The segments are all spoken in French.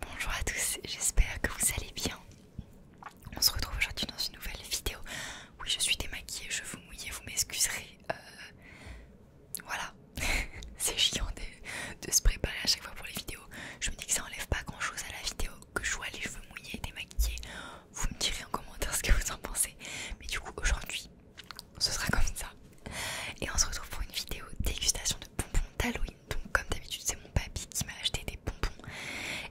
Bonjour à tous, j'espère que vous allez bien. On se retrouve aujourd'hui dans une nouvelle vidéo. Oui, je suis démaquillée, je vous mouillez, vous m'excuserez. Euh, voilà, c'est chiant de, se préparer à chaque fois pour les vidéos. Je me dis que ça enlève pas grand chose à la vidéo que je vois les cheveux mouillés et démaquillés. Vous me direz en commentaire ce que vous en pensez. Mais du coup, aujourd'hui, ce sera comme ça. Et on se retrouve pour une vidéo dégustation de bonbons d'Halloween. Donc comme d'habitude c'est mon papy qui m'a acheté des bonbons.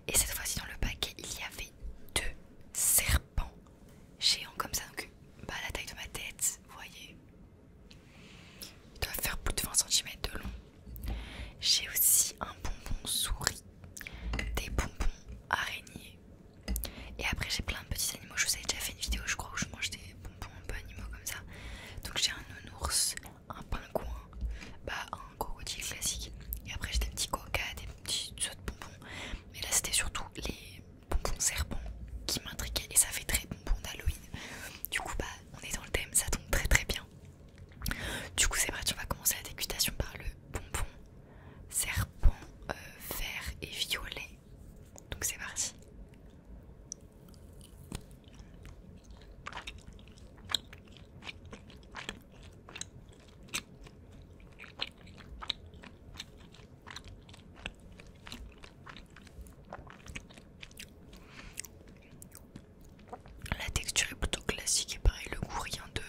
Et cette fois-ci dans le paquet il y avait deux serpents géants comme ça. Donc bah la taille de ma tête, vous voyez. Ils doivent faire plus de 20 cm de long. J'ai aussi un bonbon souris, des bonbons araignées et après j'ai plein de petits animaux, je vous avais déjà fait une vidéo je crois où je mange des bonbons un peu animaux comme ça. Donc j'ai un nounours, un pingouin, bah un crocodile classique. Et après j'ai des petits coca, des petits autres bonbons. Mais là c'était surtout les bonbons serpents qui m'intriguaient et ça fait très bonbon d'Halloween. Du coup bah on est dans le thème, ça tombe très très bien. Du coup c'est parti, on va commencer la dégustation par le bonbon serpent euh, vert et violet. Donc c'est parti. La texture est plutôt classique et pareil le goût rien de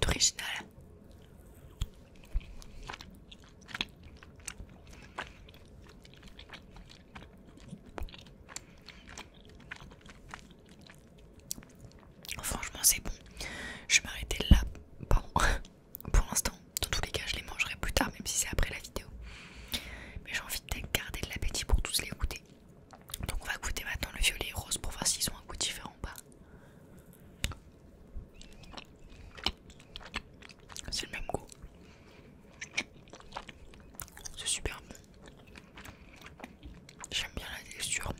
d'original. Franchement, c'est bon. Je vais m'arrêter là, pour l'instant. Dans tous les cas, je les mangerai plus tard, même si c'est après la vidéo. Mais j'ai envie de garder de l'appétit pour tous les goûter. Donc, on va goûter maintenant le violet et rose pour voir s'ils ont un goût différent ou pas. C'est le même goût. C'est super bon. J'aime bien la texture.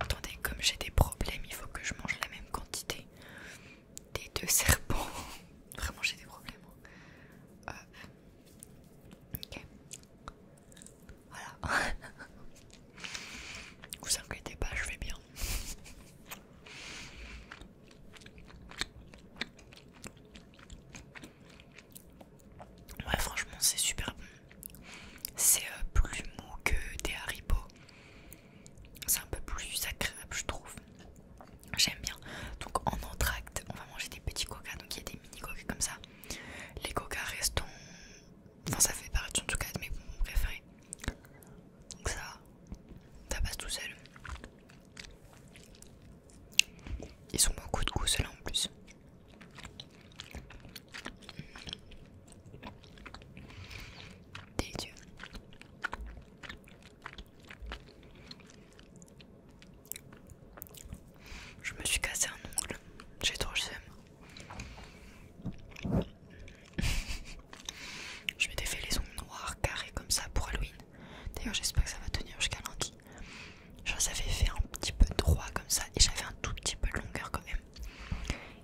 Attendez, comme j'ai des problèmes, il faut que je mange la même quantité des deux serpents. Vraiment, j'ai des problèmes. Euh, ok. Voilà. Vous inquiétez pas, je vais bien. Ouais, franchement, c'est super bon. C'est euh, plus mou que des Haribo c'est un peu plus agréable je trouve j'aime bien donc en entracte on va manger des petits coca donc il y a des mini coca comme ça les coca restent enfin ça fait partie en tout cas de mes préféré. préférés donc ça ça passe tout seul ils sont beaucoup de goût ceux-là en plus Délicieux. Je me suis cassé un ongle, j'ai trop le Je m'étais fait les ongles noirs carrés comme ça pour Halloween. D'ailleurs, j'espère que ça va tenir jusqu'à lundi. J'en avais fait un petit peu droit comme ça et j'avais un tout petit peu de longueur quand même.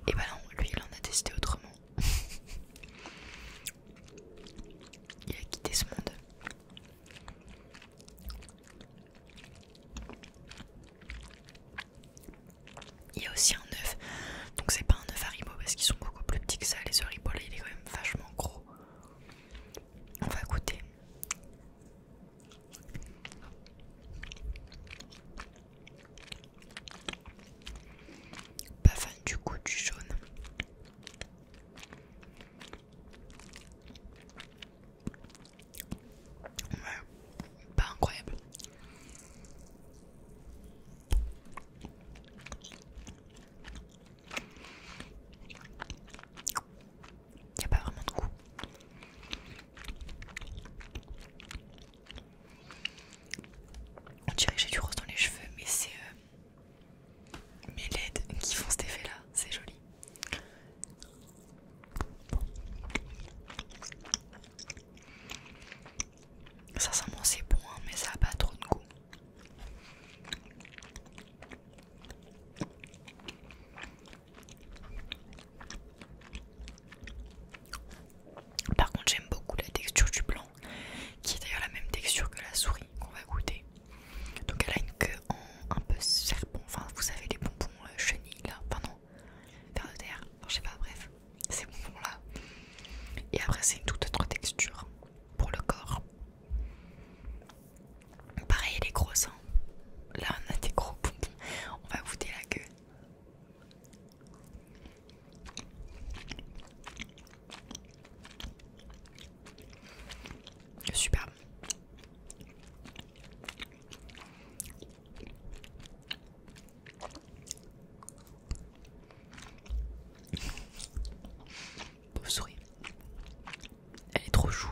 Et bah non, lui il en a testé autrement. Il a quitté ce monde. Il y a aussi un œuf, donc c'est pas un œuf Haribo parce qu'ils sont beaucoup plus petits que ça. Les Haribo là, il est quand même vachement gros. On va goûter. Pas fan du goût du jaune. Ouais, pas incroyable. Il a pas vraiment de goût. On dirait que j'ai du rose dans les cheveux, mais c'est euh, mes LED qui font cet effet là, c'est joli. Ça c'est bon, hein, mais ça n'a pas trop de goût. Par contre, j'aime beaucoup la texture du blanc qui est d'ailleurs la même texture que la souris qu'on va goûter. Donc elle a une queue en un peu serpent, enfin vous savez les bonbons euh, chenilles là, enfin non, de terre, je sais pas, bref, ces bonbons là. Et après c'est une toute autre texture pour le corps. Pareil les gros. Hein. là on a des gros bonbons, on va goûter la queue. Super Beau souris. Elle est trop chou.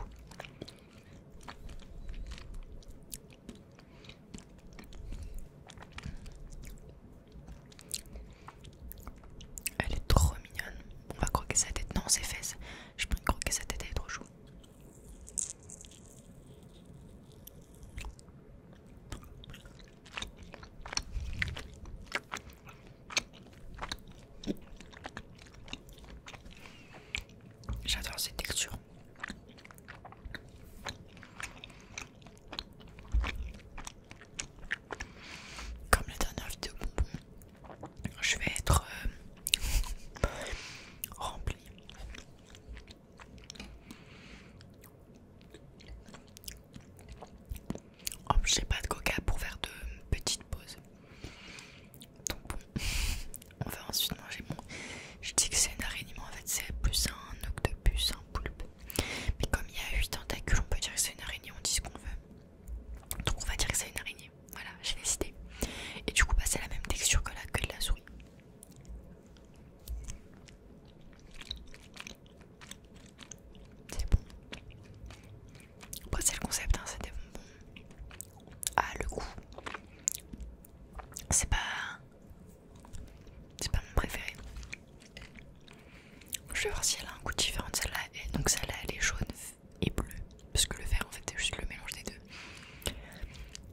Elle est trop mignonne. On va croquer sa tête. Non, ses fesses. Je peux que sa tête, est trop chou. J'adore cette texture comme la dernière vidéo bonbon, je vais être euh, rempli. remplie. j'ai pas de coca pour faire de petites pauses. Donc on va ensuite manger bon. Je dis que c'est une araignée, mais en fait c'est plus un octopus, un poulpe. Mais comme il y a 8 tentacules, on peut dire que c'est une araignée, on dit ce qu'on veut. Donc on va dire que c'est une araignée. Voilà, j'ai décidé. Et du coup, bah, c'est la même texture que la queue de la souris. C'est bon. Bah, c'est le concept, hein, c'est des Ah, le goût. C'est pas c'est pas mon préféré. Je vais voir si elle a un goût différent de celle-là. donc celle-là elle est jaune et bleue. Parce que le vert en fait c'est juste le mélange des deux.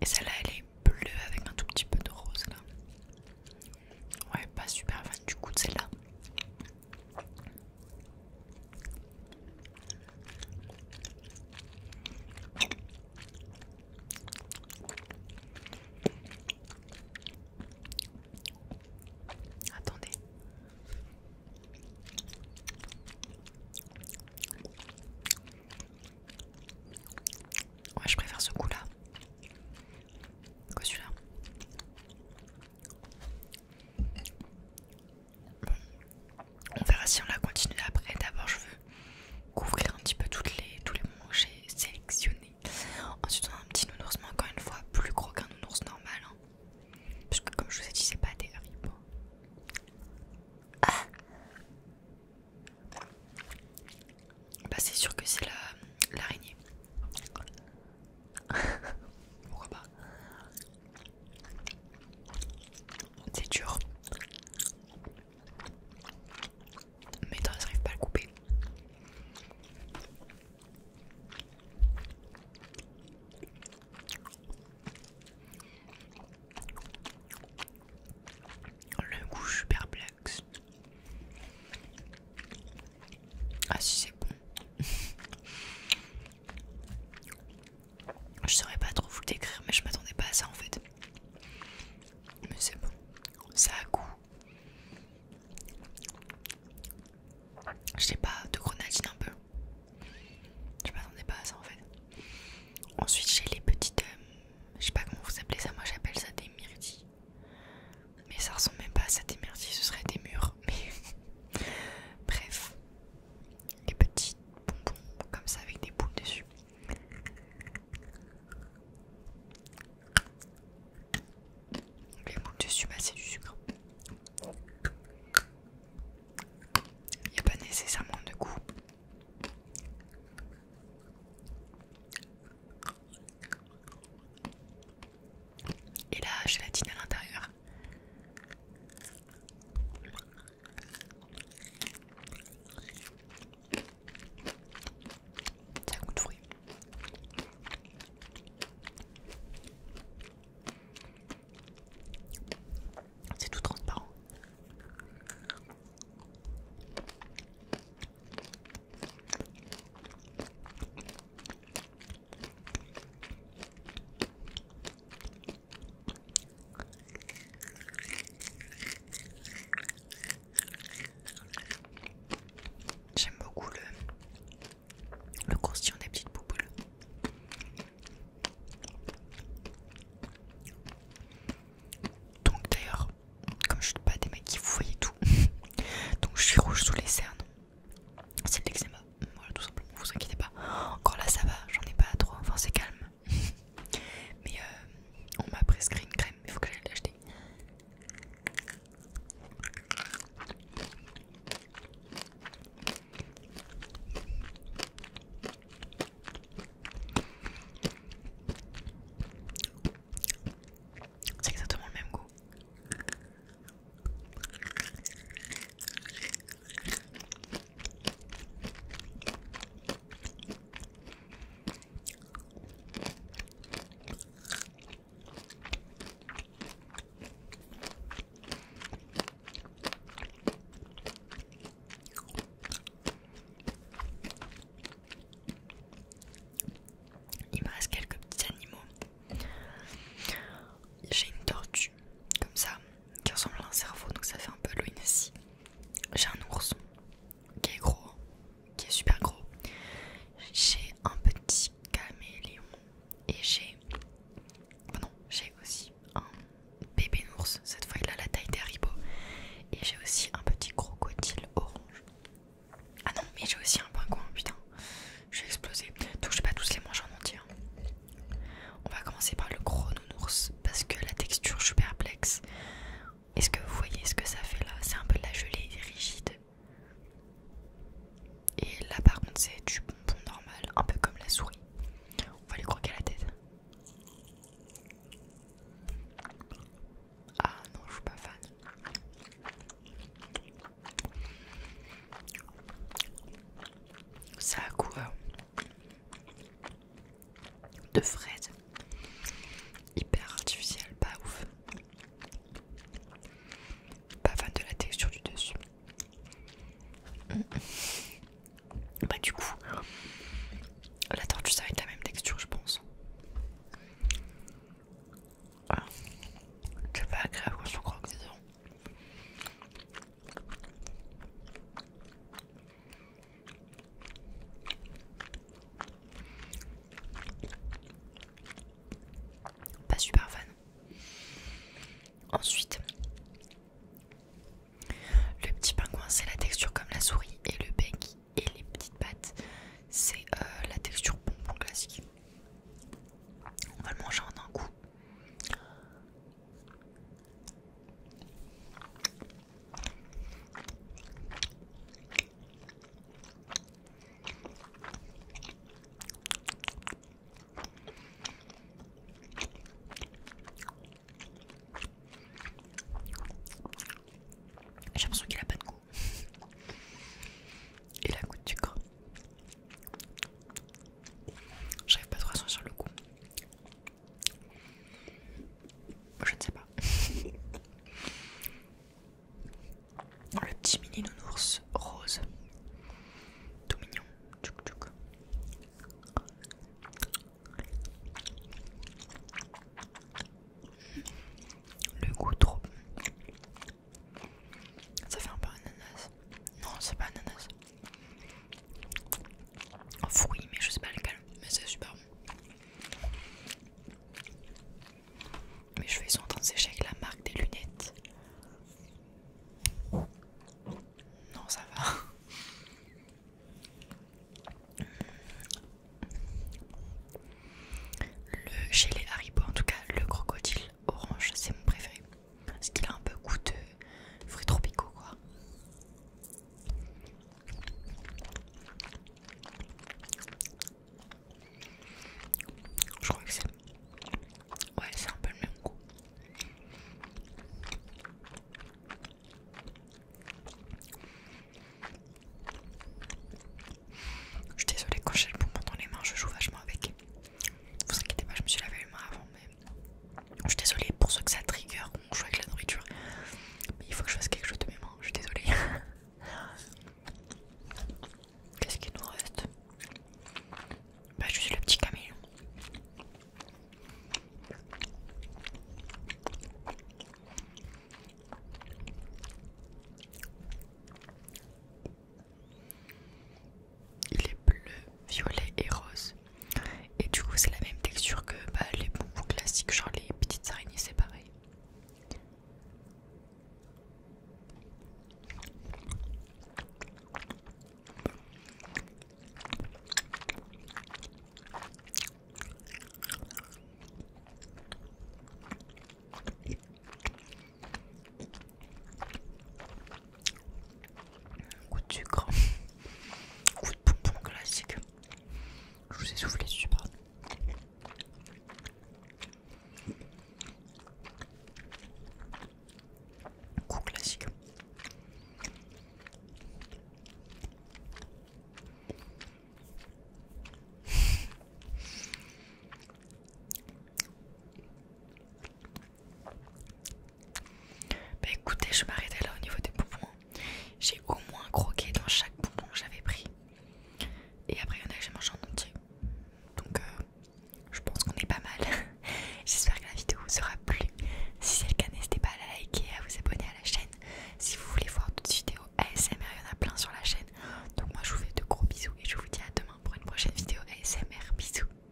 Et celle-là elle est bleue avec un tout petit peu de rose là. Ouais pas super fan du goût de celle-là. Attendez. Ouais, je préfère ce coup-là que celui-là. On verra si on la continue après. D'abord, je veux couvrir un petit peu tous les moments que j'ai sélectionnés. Ensuite on a un petit nounours mais encore une fois plus gros qu'un nounours normal. Hein. Parce que comme je vous ai dit c'est pas terrible. Ah bah c'est sûr que c'est l'araignée. Pourquoi pas C'est dur mais ne j'arrive pas à le couper. Le goût, je suis perplexe. Ah, si c'est bon. je saurais pas trop vous le décrire, mais je m'attendais pas à ça en fait. Mais c'est bon, ça a goût. Je sais pas, de grenadine un peu. Je m'attendais pas à ça en fait. Ensuite, j'ai les petites. Euh, je sais pas comment vous appelez ça, moi j'appelle ça des myrtilles. Mais ça ressemble même pas à ça des myrtilles, ce serait des murs. Mais bref, les petits bonbons comme ça avec des boules dessus. Les manque de c'est du sucre. Il n'y a pas nécessairement de goût. Et là, gélatine à l'intérieur. C'est C'est tout transparent. J'aime beaucoup le, le des petites bouboules. Donc d'ailleurs, comme je suis pas des mecs qui vous voyez tout, donc je suis rouge sous les cernes. C'est de l'eczéma, voilà tout simplement, vous inquiétez pas. Encore là ça va, j'en ai pas trop, enfin c'est calme. Mais euh, on m'a prescrit une crème, il faut que j'aille l'acheter. C'est exactement le même goût. Il me reste quelques petits animaux. J'ai une tortue, comme ça, qui ressemble à un cerveau, donc ça fait un peu loin ici. J'ai un ours qui est gros, qui est super gros. J'ai un petit caméléon et j'ai. pardon, oh j'ai aussi un bébé ours. Cette fois, il a la taille des ribots, Et j'ai aussi un petit crocodile orange. Ah non, mais j'ai aussi un pingouin, putain. Je vais explosé. Donc, je vais pas tous les manger en entier. Hein. On va commencer par le chrono ours parce que la texture, je suis perplexe. Est-ce que vous voyez ce que ça fait là C'est un peu de la gelée rigide. Et là, par contre, c'est du bonbon normal, un peu comme la souris. On va lui croquer la tête. Ah non, je suis pas fan. Ça a quoi de fraises hyper artificielle, pas ouf. Pas fan de la texture du dessus. Mm. Bah du coup, la tortue ça va être la même texture je pense. Ah. C'est pas agréable quand que c'est bon. Pas super fan. Ensuite, le petit pingouin, c'est la texture comme la souris et le bec et les petites pattes, c'est euh, la texture bonbon classique. On va le manger en un coup. J'ai l'impression qu'il n'a pas de goût. Il a goût de sucre. J'arrive pas trop à sur le goût. Je ne sais pas. Le petit mini nounours rose. Tout mignon. Tchouk tchouk. Le goût trop. Ça fait un peu ananas. Non, c'est pas ananas fruit, mais je sais pas lequel, mais c'est super bon. Mais je vais en train sécher avec la marque des lunettes. Non, ça va. Le, chez les Haribo, en tout cas, le crocodile orange, c'est mon préféré. Parce qu'il a un peu goût de fruits tropicaux quoi. Je crois que c'est... Ouais c'est un peu le même goût. Je suis désolée quand j'ai le bonbon dans les mains, je joue vachement avec. Vous inquiétez pas, je me suis lavé les mains avant, mais je suis désolée pour ceux que ça trigger, mon joue avec la nourriture. Mais il faut que je fasse quelque chose de mes mains, je suis désolée. Qu'est-ce qu'il nous reste Bah, je suis le petit Camille il est bleu, violet et rose. Et du coup, c'est la même texture que bah, les bonbons classiques, genre les petites araignées, c'est pareil. Coup de sucre, coup de poupon classique. Je vous ai soufflé super. Coup classique. Bah écoutez, je m'arrêtais là au niveau des poupons J'ai au moins croqué dans chaque poupon que j'avais pris. Et après, il y en a que j'ai mangé en entier. Donc, euh, je pense qu'on est pas mal. J'espère que la vidéo vous aura plu. Si c'est le cas, n'hésitez pas à la liker et à vous abonner à la chaîne. Si vous voulez voir d'autres vidéos ASMR, il y en a plein sur la chaîne. Donc, moi, je vous fais de gros bisous et je vous dis à demain pour une prochaine vidéo ASMR. Bisous.